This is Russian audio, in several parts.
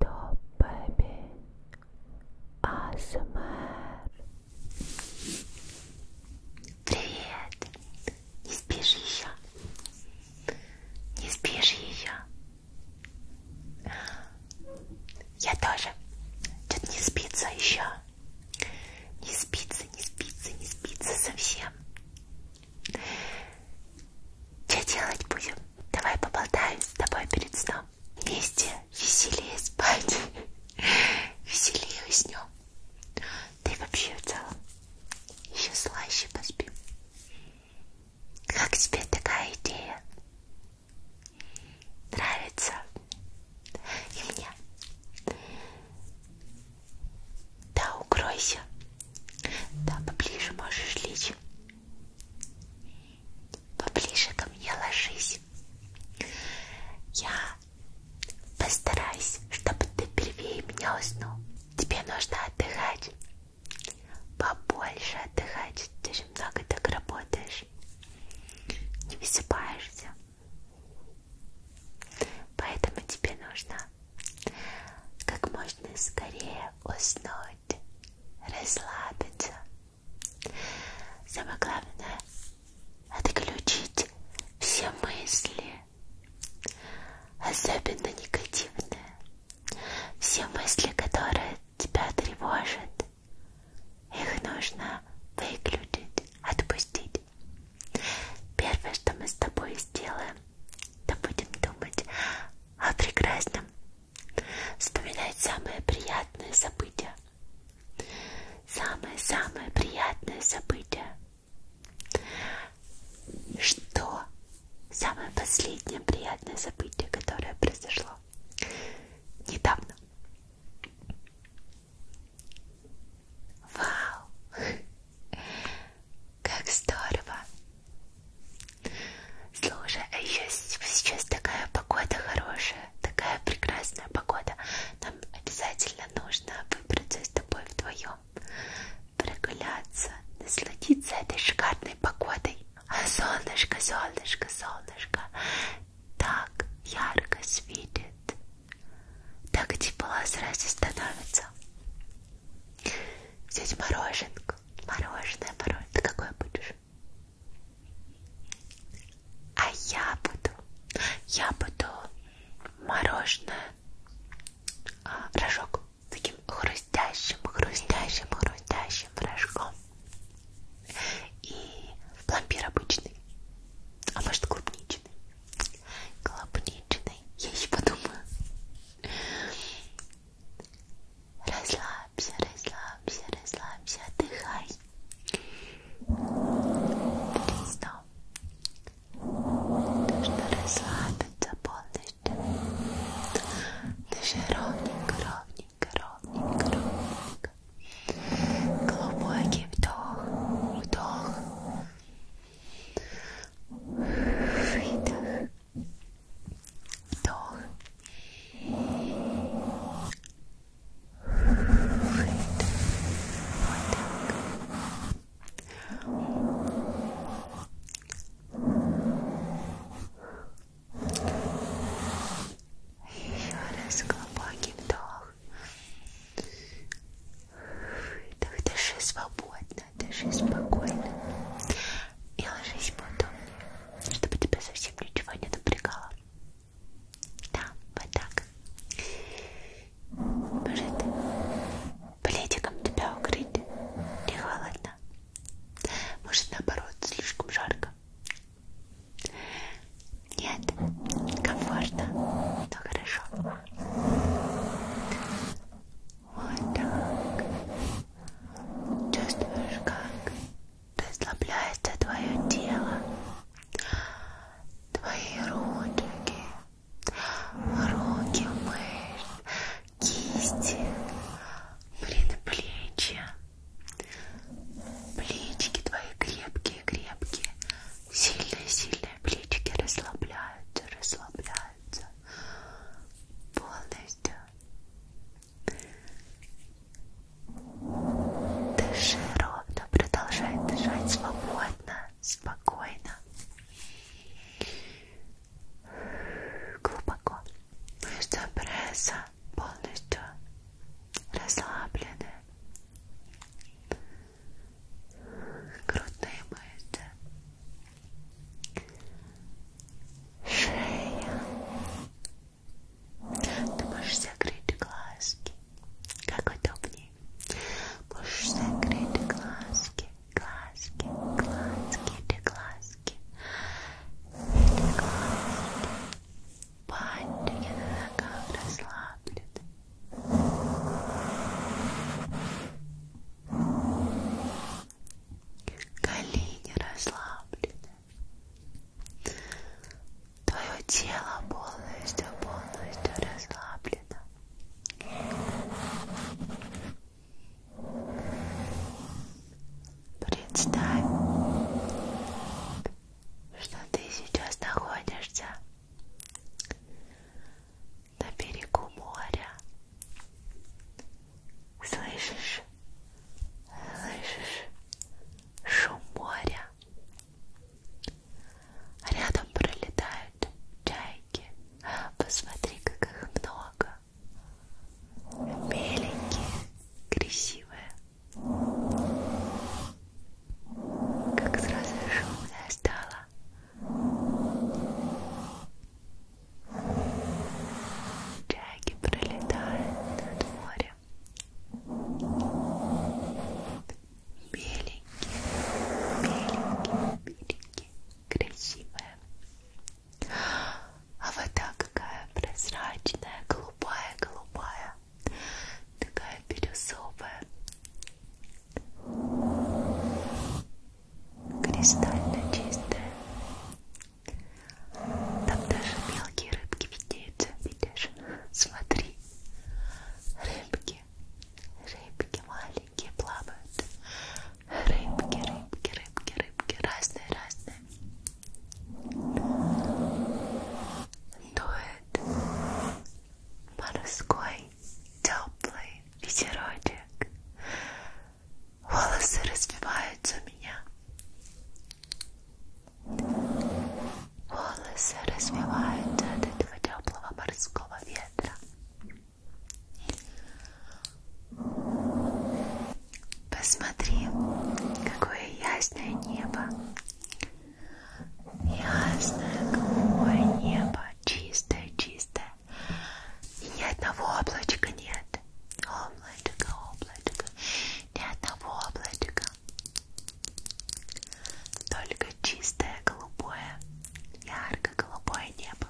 Top Baby ASMR Привет! Не спишь еще? Не спишь еще? Я тоже. Тут не спится еще. Не спится, не спится, не спится совсем. Что делать будем? Давай поболтаем с тобой перед сном. Вместе веселее спать. Веселее уснем. Да и вообще в целом еще слаще поспим. Как тебе такая идея? Нравится? И мне. Да, укройся. Да, поближе можешь лечь. Поближе ко мне ложись. Я постараюсь, чтобы ты первее меня уснул. Тебе нужно отдыхать. Побольше отдыхать. Ты же много так работаешь. Не высыпаешься. Поэтому тебе нужно как можно скорее уснуть отдохнуть, расслабиться. Самое главное отключить все мысли, особенно негативные, все мысли, которые тебя тревожат, их нужно выключить, отпустить. Первое, что мы с тобой сделаем, то будем думать о прекрасном Вспоминать самые приятные события. Самые-самые приятные события. Что самое последнее приятное событие, которое произошло недавно? Вау! Как здорово! Слушай, а еще сейчас такая погода хорошая, такая прекрасная погода. Нам обязательно нужно выбраться с тобой вдвоем, прогуляться, насладиться этой шикарной погодой. А солнышко, солнышко, солнышко так ярко светит, так тепло сразу становится. Взять мороженку Мороженое, мороженое. Ты какое будешь? А я буду, я буду мороженое, а, рожок с таким хрустящим, хрустящим, хрустящим рожком и пломбир обычный, а может клубничный, клубничный, я еще подумаю. Rozlab się, rozlab się, rozlab się, dychaj. Prisno. Нужно расслабиться полностью. Дыши ровненько, ровненько, ровненько, ровненько. Глубокий вдох, вдох. Выдох doll Еще раз глубоким вдох. Выдох, дыши свободно. спокойно, дыши спокойно и ложись поудобнее, чтобы тебя совсем ничего не напрягало. Да, вот так. Может, пледиком тебя укрыть? Не холодно? Может, наоборот, слишком жарко? Нет, комфортно, но ну, хорошо. Вот так. Чувствуешь, как расслабляется твое тело, твои ручки, руки мышц, кисти, блин, плечи. Плечики твои крепкие-крепкие, сильные-сильные плечики расслабляются, расслабляются. Полная полностью. Дыши ровно, продолжай дышать свободно, спокойно, глубоко. Мышцы пресса полностью расслаблены. Грудные мышцы, шея. Ты можешь закрыть глазки, как удобнее. Можешь закрыть глазки, глазки, глазки, эти глазки, эти глазки. Пальчики на ногах расслаблены. Шея, колени расслаблены, твое тело полностью, полностью расслаблено. Представь, что ты сейчас находишься на берегу моря. Слышишь? Слышишь? Шум моря. Рядом пролетают чайки. Посмотри, как их много. Беленькие, красивые. Как сразу шумно стало. Джаги пролетают над морем. Беленькие, беленькие, беленькие, красивые. А вода какая прозрачная, голубая, голубая, такая бирюзовая кристально чистая. Там даже мелкие рыбки виднеются, видишь? Смотри, рыбки, рыбки маленькие плавают. Рыбки, рыбки, рыбки, рыбки, разные, разные. Дует морской теплый ветерочек волосы развиваются у меня. Волосы развиваются от этого теплого морского ветра. Посмотри, какое ясное небо. Ясное голубое небо, чистое, чистое. И ни одного облачка нет. Облачко, облачко. Ни одного облачка. Только чистое голубое, ярко-голубое небо.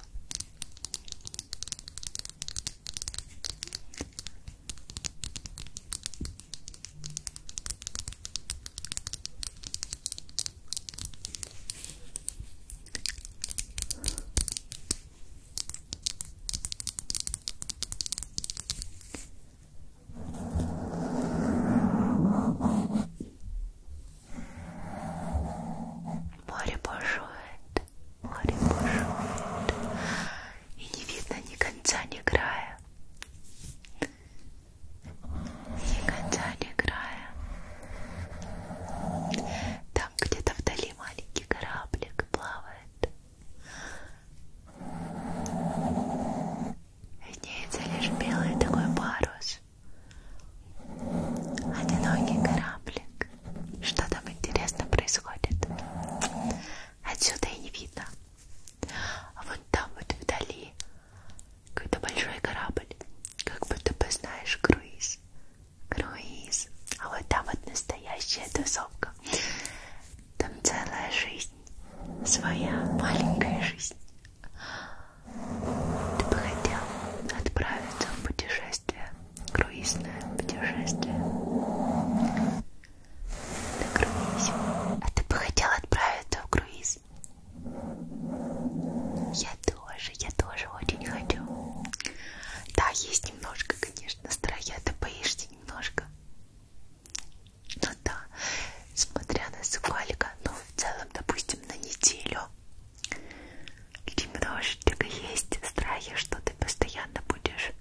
Море бушует, море бушует, и не видно ни конца, ни края. Ни конца, ни края. Да, там где-то вдали маленький кораблик плавает. Виднеется лишь белый такой парус. Одинокий кораблик. Что там интересно происходит? Отсюда и не видно. А вот там вот вдали какой-то большой корабль. Как будто бы знаешь круиз круиз. А вот там вот настоящая тусовка. Там целая жизнь. Своя маленькая жизнь. Ты бы хотел отправиться в путешествие. Круизное путешествие. На круизе. А ты бы хотел отправиться в круиз? Я тоже, я тоже очень хочу. Да, есть немножко, конечно, страя, ты боишься немножко. Ну да, смотря на сколько, но в целом, допустим, на неделю немножечко есть страхи, что ты постоянно будешь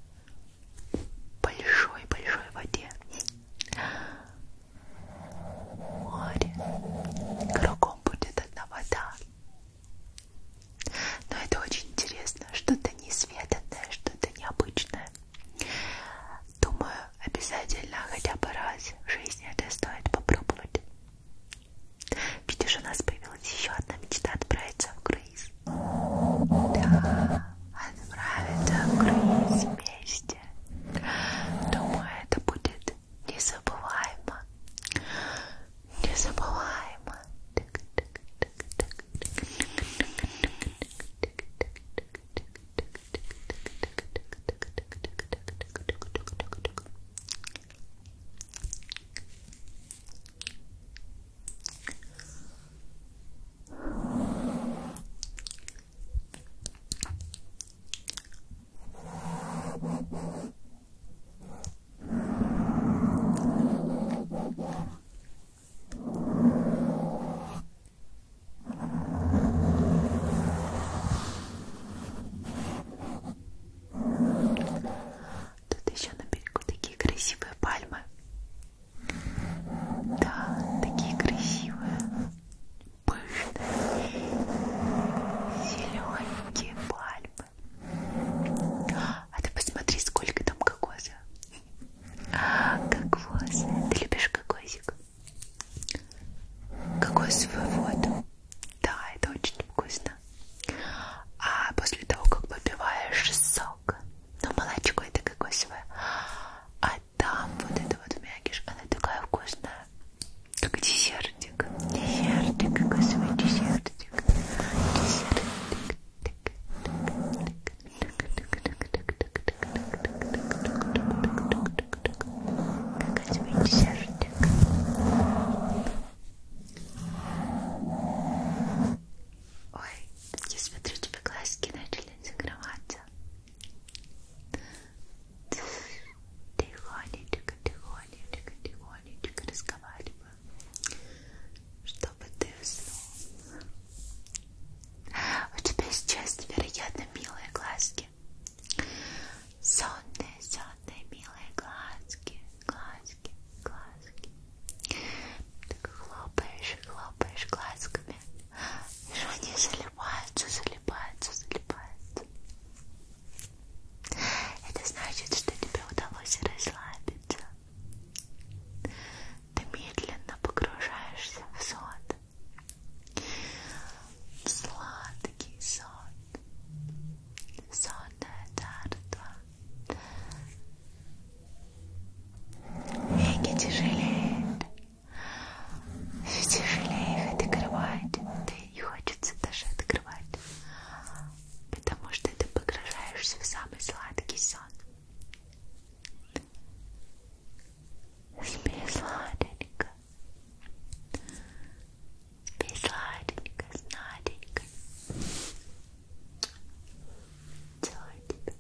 большой-большой в воде. Море. Кругом будет одна вода. Но это очень интересно, что-то несветанное, что-то необычное. Думаю, обязательно хотя бы раз в жизни это стоит попробовать. Видишь, у нас появилась еще одна мечта отправиться в круиз. Да, отправиться в круиз вместе. Думаю, это будет незабываемо, незабываемо. Незабываемо. Тут еще на берегу такие красивые пальмы. Да, такие красивые, пышные, зелененькие пальмы рыбы. А ты посмотри, сколько там кокоса. Кокос. Ты любишь кокосик? Кокосовую воду. Да, это очень вкусно. А после того, как попиваешь сок, ну молочко это кокосовое, а там вот это вот мякиш, она такая вкусная. Как десертик. Десертик, какой свой десертик. Десертик. Какой свой десертик. Ой, я смотрю, тебе глазки начали закрываться. Тихонечко, тихонечко тихонечко, тихонечко разговариваю, чтобы ты уснул. У тебя сейчас невероятно милые глазки. Сонные, сонные, милые глазки, глазки, глазки. Так хлопаешь, хлопаешь глазками. И они залипаются, залипаются, залипаются. Это значит, что тебе удалось расслабиться. Ты медленно погружаешься в сон. Сладкий сон. Сонное царство. Веки тяжелеют. Все тяжелее в этой кровати. Ты не хочется даже открывать, потому что ты погружаешься в самый сладкий сон. Спи сладенько, спи сладенько, сладенько. Целую тебя.